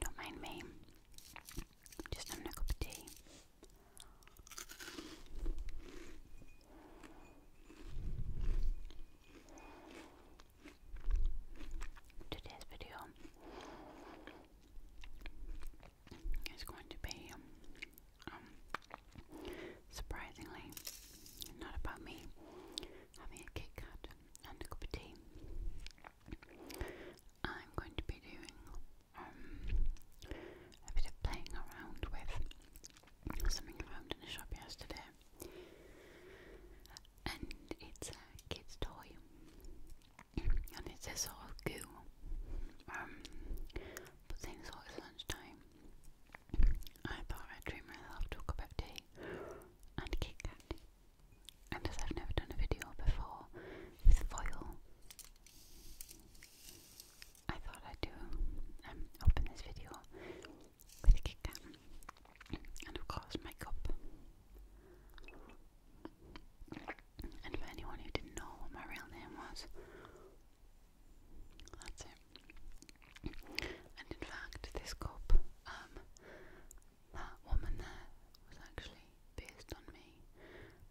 Don't mind me. Just having a cup of tea. Today's video is going to be um, surprisingly not about me having a Kit and a cup of tea. I'm going to be doing um, a bit of playing around with something I found in the shop yesterday and it's a kid's toy, and it says sort of goo. but then it's lunchtime. I thought I'd treat myself to a cup tea and Kit Kat, and as I've never done a video before with foil, I thought I'd do um, open this video with Kit Kat and of course makeup. And for anyone who didn't know what my real name was, that's it. And in fact, this cup, um, that woman there was actually based on me.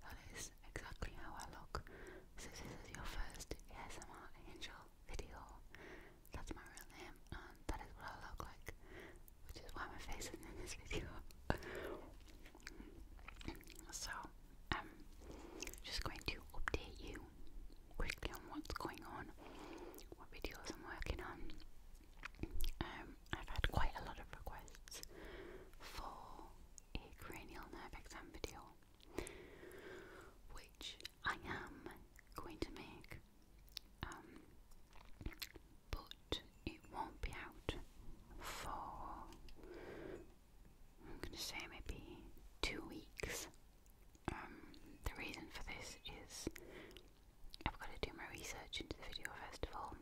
That is exactly how I look. So this is your first ASMR Angel video. That's my real name and um, that is what I look like, which is why my face is in this video. so, I'm just going to update you quickly on what's going on, what videos I'm working on. Um, I've had quite a lot of requests for a cranial nerve exam video, which I am going to make. Um, but it won't be out for I'm gonna say maybe two weeks. Um, the reason for this is I've got to do my research into the video festival,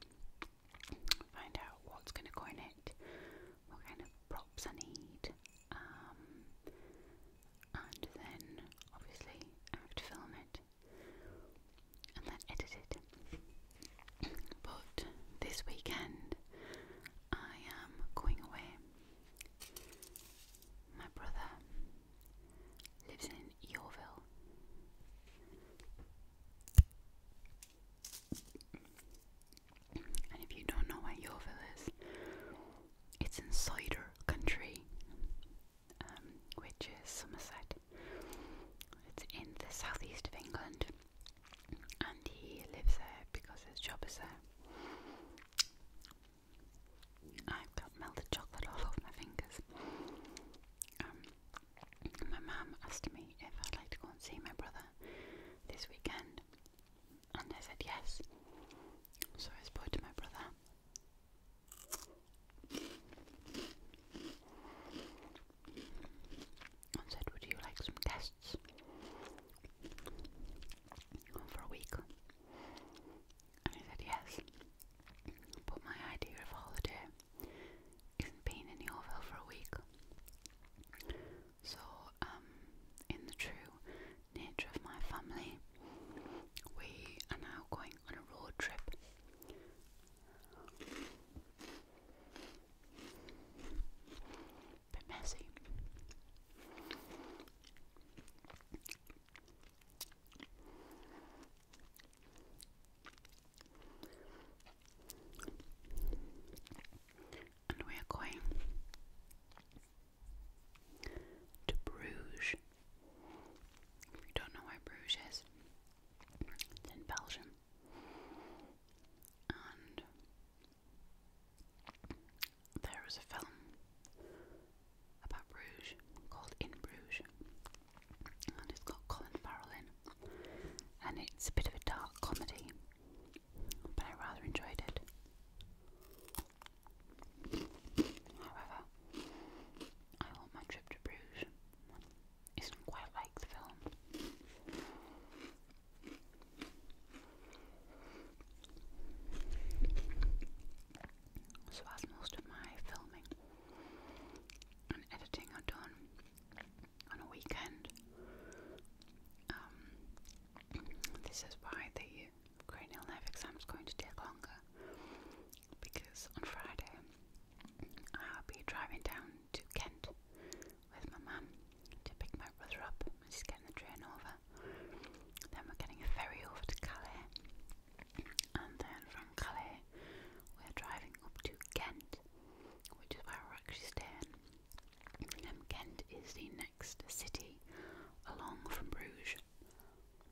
find out what's gonna go in it, what kind of props I need, um, and then obviously I film it and then edited. But this weekend I am going away. My brother lives in Yeovil. And if you don't know where Yeovil is, it's in cider country. Um, which is Somerset. It's in the southeast of England, and he lives there because his job is there. I've got melted chocolate all over my fingers. Um, my mum asked me if I'd like to go and see my brother this weekend, and I said yes. So I spoke to my brother and said, Would you like some tests for a week? And I said, Yes, but my idea of holiday isn't being in Yeovil for a week. So, um, in the true nature of my family, we are now going on a road trip. Bit messy. And we're going to Bruges if you don't know where Bruges is, it's in Belgium. And there was a film about Bruges called In Bruges, and it's got Colin Farrell in, and it's a bit of a dark comedy, but I rather enjoyed it. However, I want my trip to Bruges. Isn't quite like the film. So, as most of my filming and editing are done on a weekend, um, this is why the cranial nerve exam is going to take longer because on Friday I'll be driving down to Kent with my mum to pick my brother up and just getting the train over. Then we're getting a ferry over to Calais and then from Calais we're driving up to Kent, which is where we're actually staying. And Kent is the next city along from Bruges.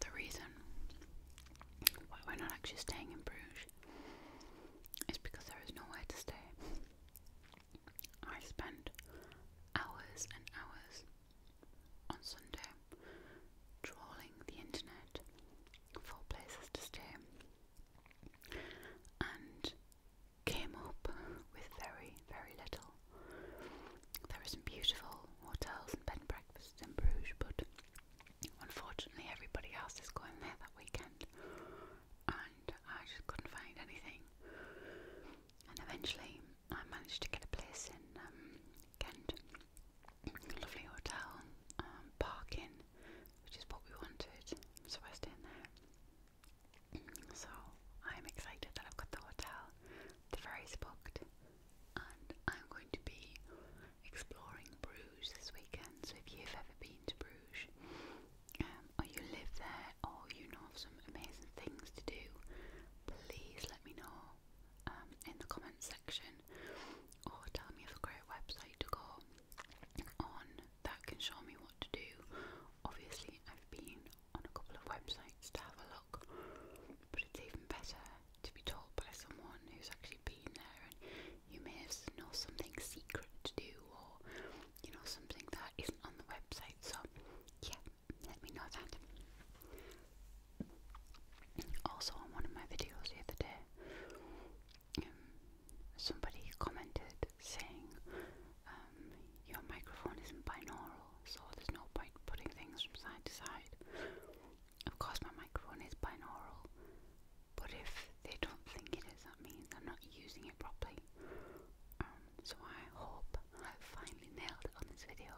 the reason why we're not actually staying in Bruges is because there is nowhere to stay. I spent hours and hours on Sunday trawling the internet for places to stay and came up with very, very little. There are some beautiful hotels and bed and breakfasts in Bruges, but Unfortunately, everybody else is going there that weekend, and I just couldn't find anything. And eventually, I managed to get a place in um, Kent, lovely hotel, um, parking, which is what we wanted. So I stayed there. So I'm excited that I've got the hotel. The ferry's booked and I'm going to be exploring Bruges this weekend. So if you've ever been to Bruges, um, or you live there, or you know of some amazing things to do, please let me know um, in the comments section, or tell me of a great website to go on that can show me what to do. Obviously, I've been on a couple of websites to have a look, but it's even better to be told by someone who's actually been there, and you may have know something secret to do, or you know something that isn't on the website. So yeah, let me know that. Also, on one of my videos the other day, um, somebody commented saying um, your microphone isn't binaural, so there's no point putting things from side to side. Of course, my microphone is binaural, but if they don't think it is, that means I'm not using it properly. Um, so I hope I've finally nailed it on this video.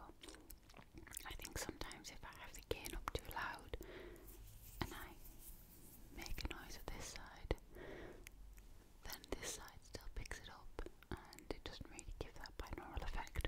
I think sometimes if I have the gain up too loud and I make a noise at this side, then this side still picks it up and it doesn't really give that binaural effect.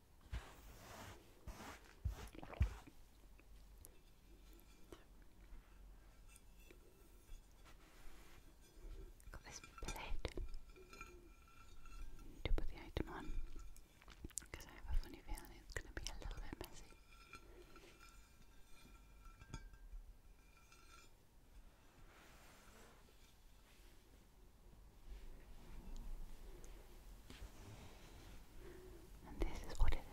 Got this plate to put the item on because I have a funny feeling it's going to be a little bit messy. And this is what it is.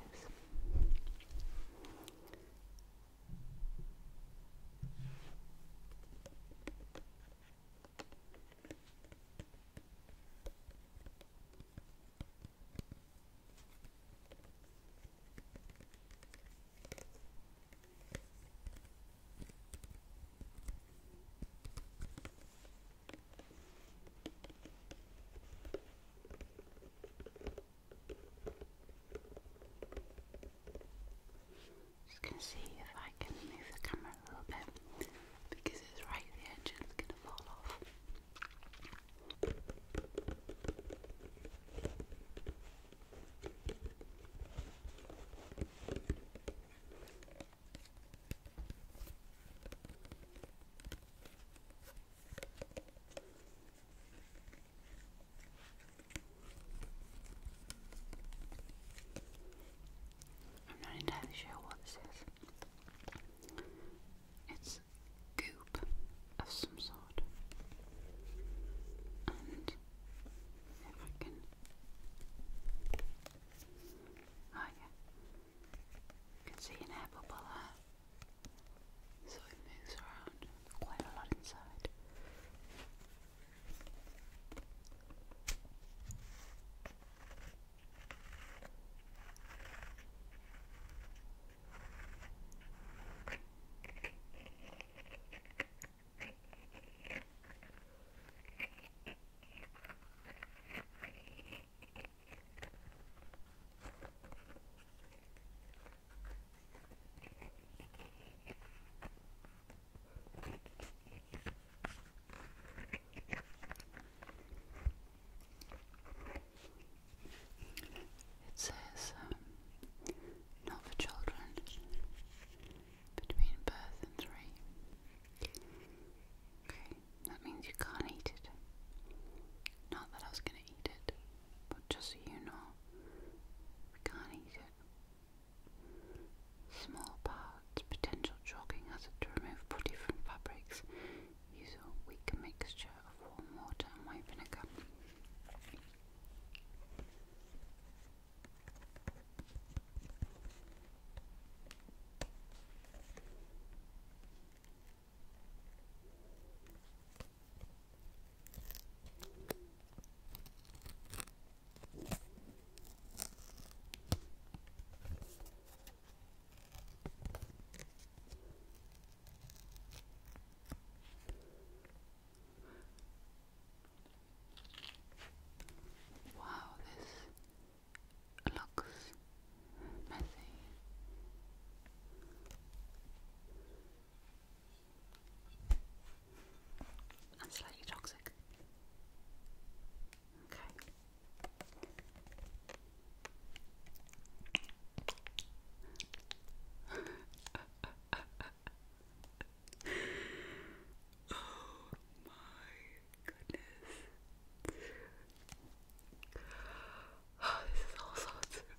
Just gonna see if I can move the camera a little bit because it's right at the gonna fall off. I'm not entirely sure what this is. It's goop of some sort. And if I can. Oh, yeah. You can see an air bubble there, so it moves around quite a lot inside. It says um, not for children between birth and three. Okay that means you can't eat it. Not that I was gonna eat it, but just you know, we can't eat it. Small parts, potential chalking hazard to remove putty from fabrics. Use a weak mixture of warm water and white vinegar. Wow, this looks messy. And slightly toxic. Okay. oh my goodness this is all sorts this is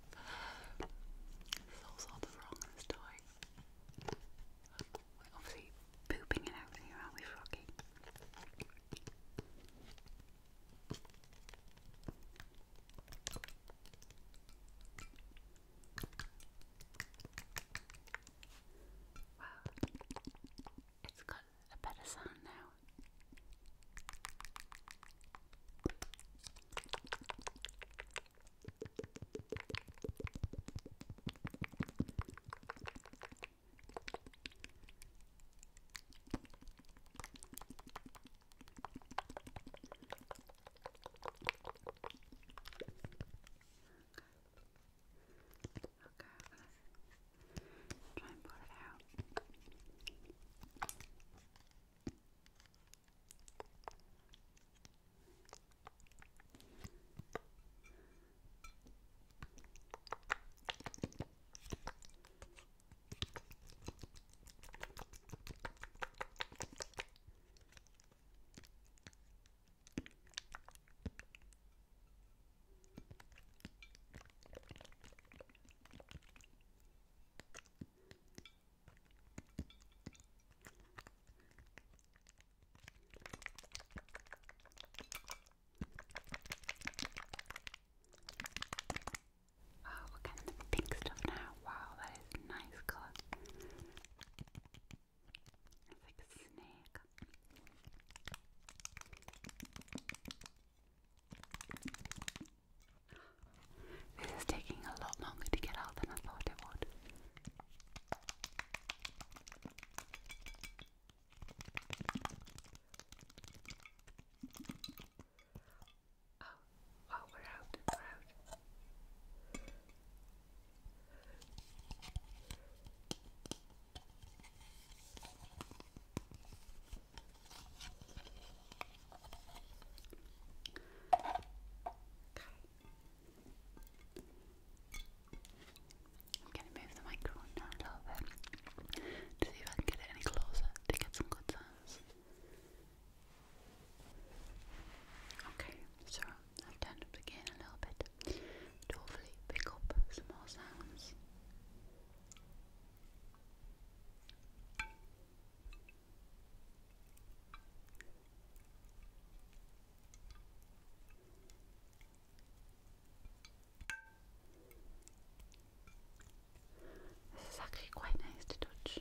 all sorts of wrong in We're obviously pooping and everything around with Rocky. Wow. It's got a better sound now. Okay, Try and pull it out. Oh, we're getting the pink stuff now. Wow, that is a nice colour. It's like a snake. This is taking a lot longer to get out than I thought it would. Oh, oh, we're out, we're out. I'm going to move the microphone now a little bit to see if I can get it any closer to get some good sounds. Okay, so I've turned up again a little bit to hopefully pick up some more sounds. This is actually quite nice to touch.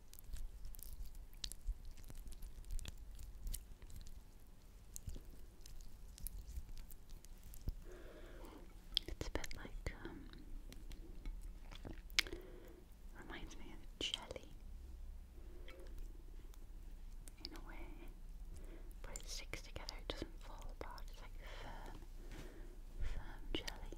It's a bit like, um, reminds me of jelly in a way, but it sticks together, it doesn't fall apart, it's like firm, firm jelly.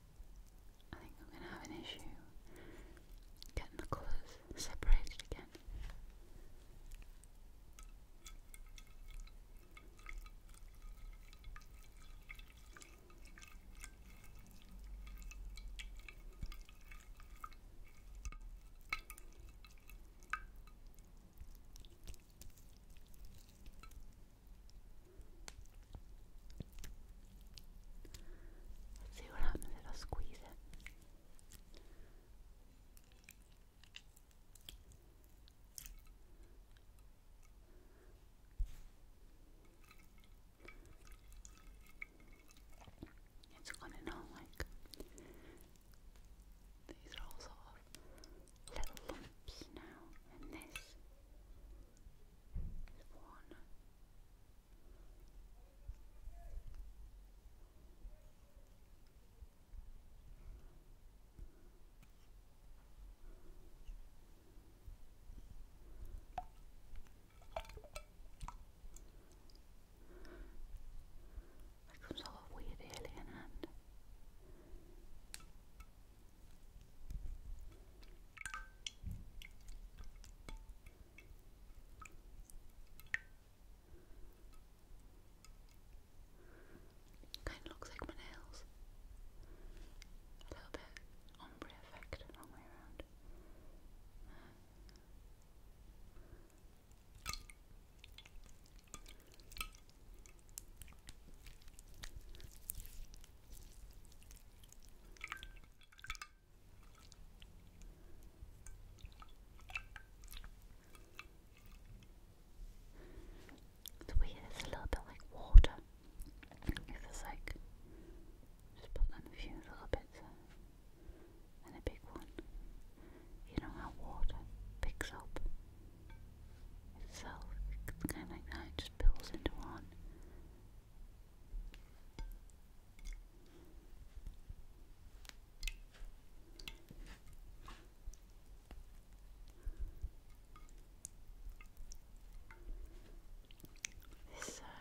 I think I'm going to have an issue getting the colours separated again. Let's see what happens if I squeeze it. It's funny now, like these are all sort little lumps now, and this is one. Like some sort of weird alien hand. Kind of looks like my nails. A little bit ombre effect, wrong way around. It's weird, it's a little bit like water. It's like, just put on a few little bits and a big one. You know how water picks up so it's kind of like that, it just builds into one. This, uh,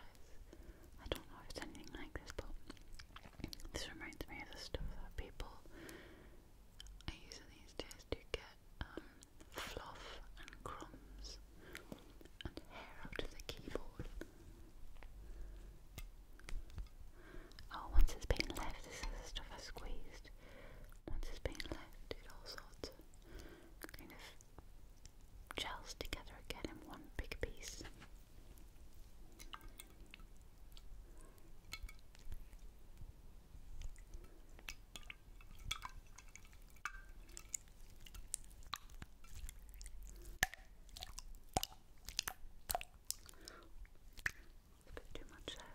I don't know if it's anything like this, but this reminds me of the stuff that people use these days to get um, fluff and crumbs and hair out of the keyboard. Oh, once it's been left, this is the stuff I squeezed. Once it's been left, it all sorts kind of gels together again in one big piece. A bit too much there.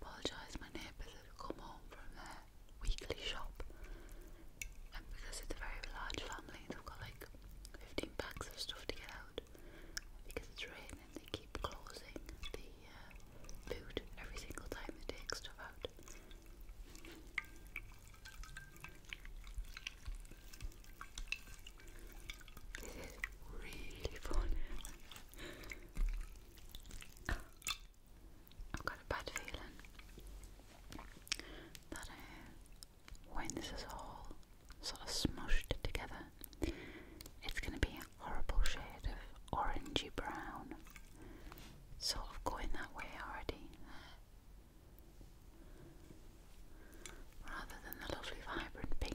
Apologise, my neighbours have come home from their weekly shop, and because it's a very large family, they've got like 15 packs of stuff to get out. Because it's raining, they keep closing the uh, every single time they take stuff out. This is really fun. I've got a bad feeling when this is all sort of smushed together, it's going to be a horrible shade of orangey brown, sort of going that way already, rather than the lovely vibrant pink.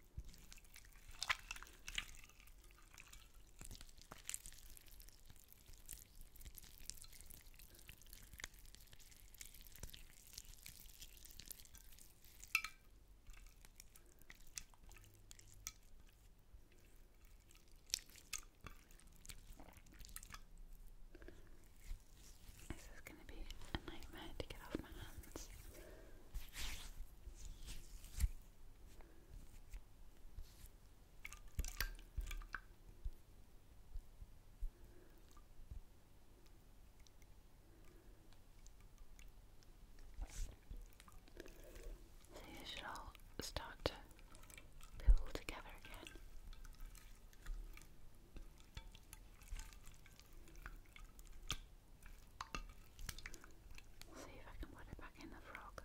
This is going to be a nightmare to get off my hands. So you should all start to pool together again. See if I can put it back in the frog.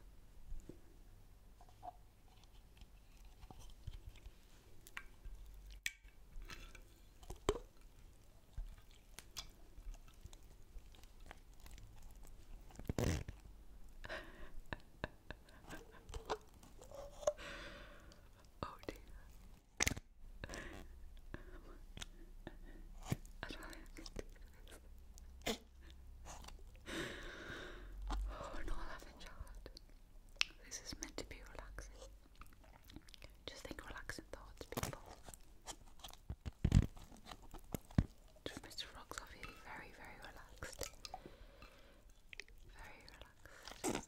oh dear. I do oh no, i This is meant to be relaxing. Just think relaxing thoughts, people. Mr. Rocks are very, very relaxed. Very relaxed.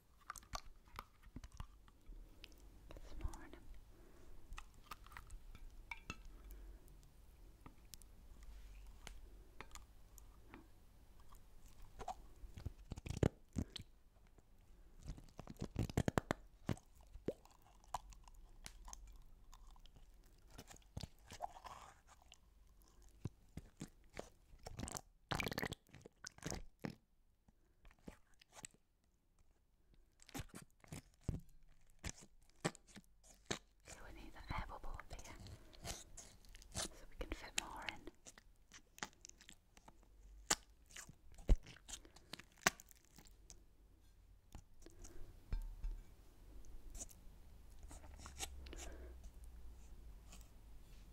This morning. So we need an air bubble up here so we can fit more in.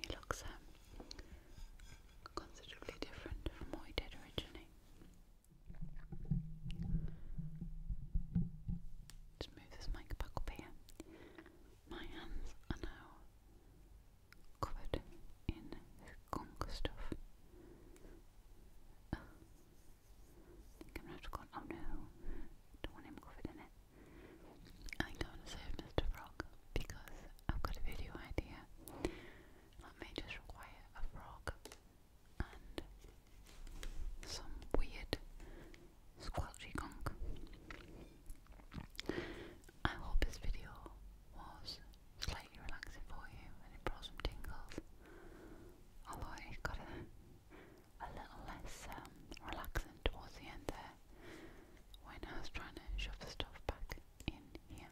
he looks um, considerably different from what he did originally. Just move this mic back up here. My hands are now covered in skunk stuff. I think I'm gonna have to go. Oh no, don't want him covered in it. I'm going to save Mr. Frog because I've got a video idea that may just require a frog and some weird squelchy gunk. I hope this video was slightly relaxing for you and it brought some tingles. Although it got a, little less um, relaxing towards the end there when I was trying to shove the stuff back in here.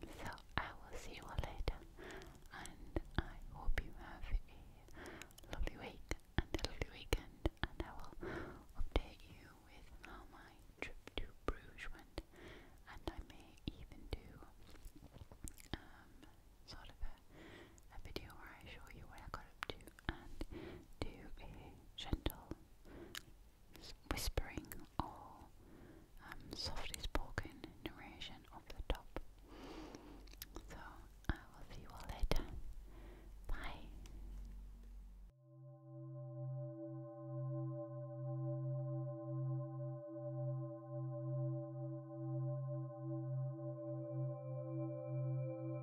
So I will see you all later, and I hope you have a lovely week and a lovely weekend, and I will update you with how my trip to Bruges went, and I may even do um, sort of a, a video where I show you what I got up to and do a gentle whispering or um, softly spoken narration over the top. So I will see you all later. Bye.